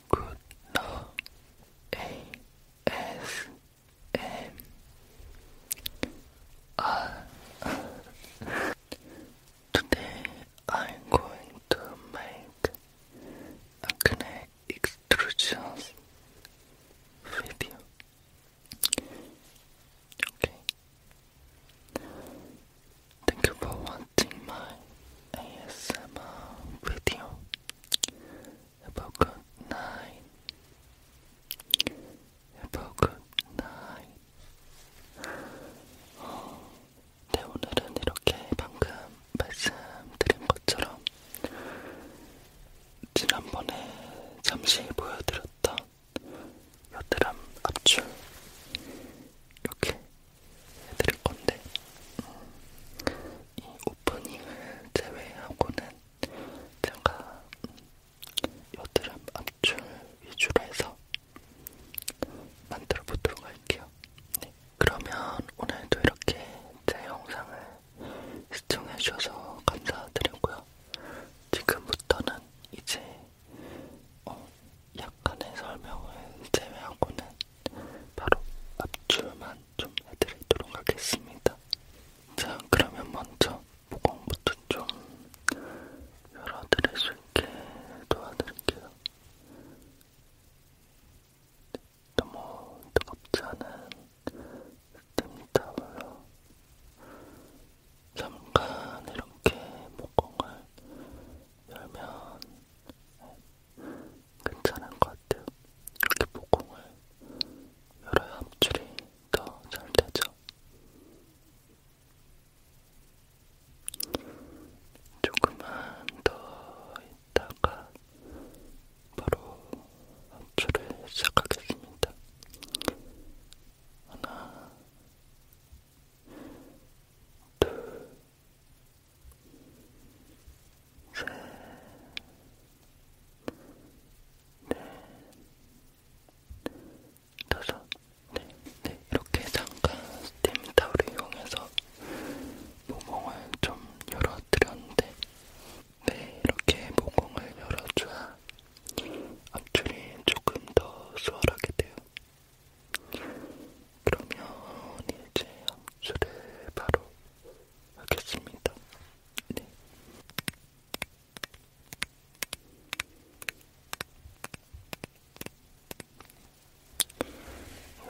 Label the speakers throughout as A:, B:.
A: 굿너 ASMR Today I'm going to make acne extrusions video. Okay. Thank you for watching my ASMR video.
B: Have a good night. Have a good night. 어, 네, 오늘은 이렇게 방금 말씀드린 것처럼 지난번에 잠시 보여드렸던 여드름 압출 이렇게 해드릴 건데 음, 이 오프닝을 제외하고는 제가 음, 여드름 압출 위주로 해서 만들어 보도록 할게요. 네, 그러면 오늘도 이렇게 제 영상을 시청해 주셔서 감사드리고요. 지금부터는 이제 어, 약간의 설명을 제외하고는 바로 압출만 좀 해드리도록 하겠습니다. 자, 그러면 먼저 모공부터 좀 열어드릴 수 있게 도와드릴게요. 너무 뜨겁지 않은 스팀타올로 잠깐 이렇게 목공을 열면 괜찮은 것 같아요. 이렇게 모공을 열어야 함출이 더 잘 되죠. 조금만 더 있다가
C: 바로 함출을 시작하겠습니다. 하나, 둘, 셋, 넷, 다섯, 네, 네, 이렇게 잠깐 스팀 타올을 이용해서 모공을 좀 열어드렸는데, 네, 이렇게 모공을 열어줘야 압출이 조금 더 수월하게 돼요. 그러면 이제 함수를 바로 하겠습니다. 네.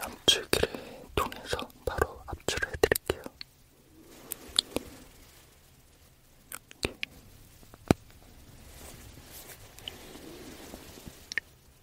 C: 압출기를 통해서 바로 압출을 해드릴게요. 이렇게.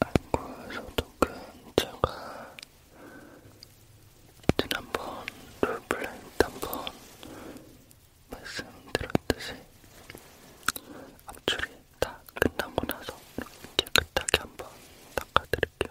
C: 알코올 소독은 제가 지난번 롤플레이 한번 말씀드렸듯이 앞줄이 다 끝나고 나서 이렇게 깨끗하게 한번 닦아드릴게요.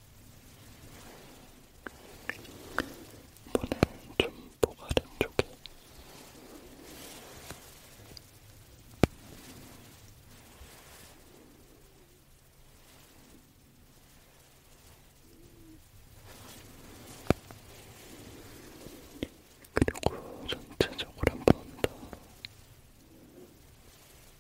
C: 이번엔 좀 보가른 쪽에 그리고 전체적으로 한번더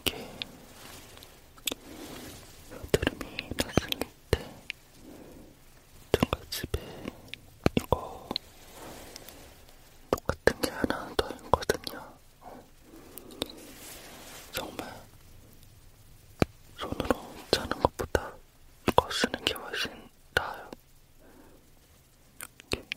C: 이게 흐름이 났을 때 제가 집에 이거 똑같은 게 하나 더 있거든요. 정말 손으로 짜는 것보다 이거 쓰는 게 훨씬 나아요. 이렇게. 이렇게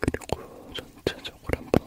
D: 그리고 전체적으로 한번더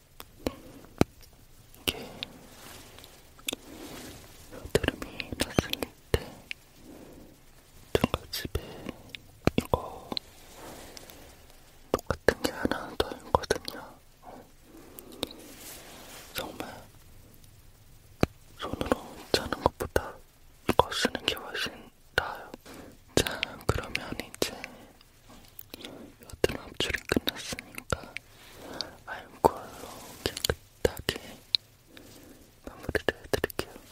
D: 이게 여드름이 났을 때 누가집에 이거 똑같은 게 하나 더 있거든요.
C: 정말 손으로 짜는 것보다 이거 쓰는 게 훨씬 나아요. 자, 그러면 이제 여튼 압출이 끝났으니까 알코올로 깨끗하게 마무리를 해드릴게요.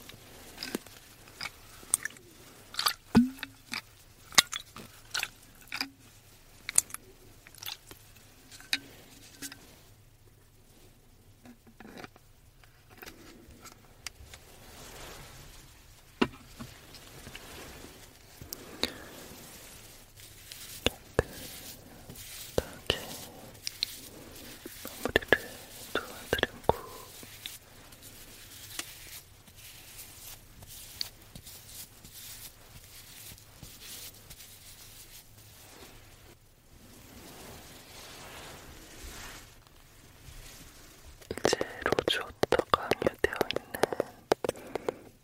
C: 깨끗하게 마무리를 도와드리고 이제 로즈 워터가
E: 함유되어 있는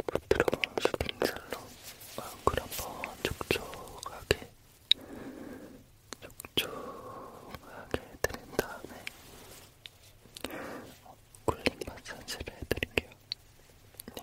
E: 부드러운 슈팅젤로 얼굴 한번 촉촉하게 촉촉하게 해드린 다음에 굴링 마사지를 해드릴게요. 네.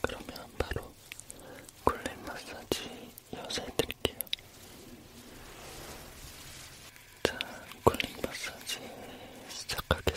E: 그러면 바로 쿨링 마사지 이어서 해드릴게요. 자, 쿨링 마사지 시작하겠습니다.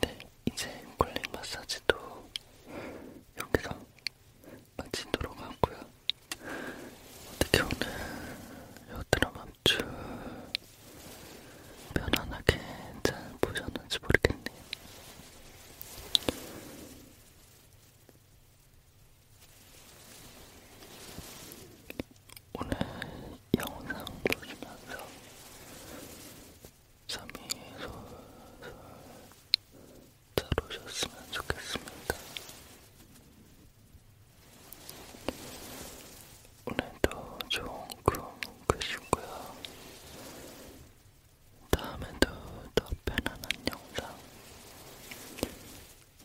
B: 네, 이제 쿨링 마사지도 여기서 마치도록 하고요. 어떻게 오늘 요 드라마 아주 편안하게 잘 보셨는지 모르겠네요. 오늘 영상 보시면서 잠이 솔솔 잘 오셨으면 좋겠습니다. 오늘도 좋은 꿈 꾸시고요. 다음에도 더 편안한 영상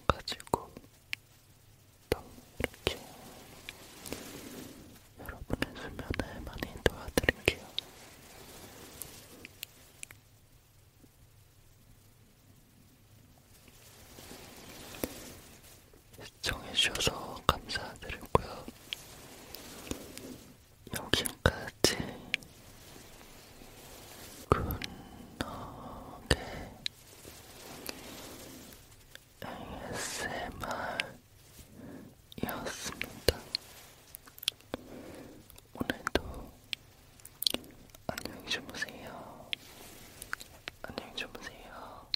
B: 가지고 또 이렇게 여러분의 수면에 많이 도와드릴게요. 시청해주셔서 감사드리고요. 여기까지 굿노게 ASMR이었습니다. 오늘도 안녕히 주무세요. 안녕히 주무세요.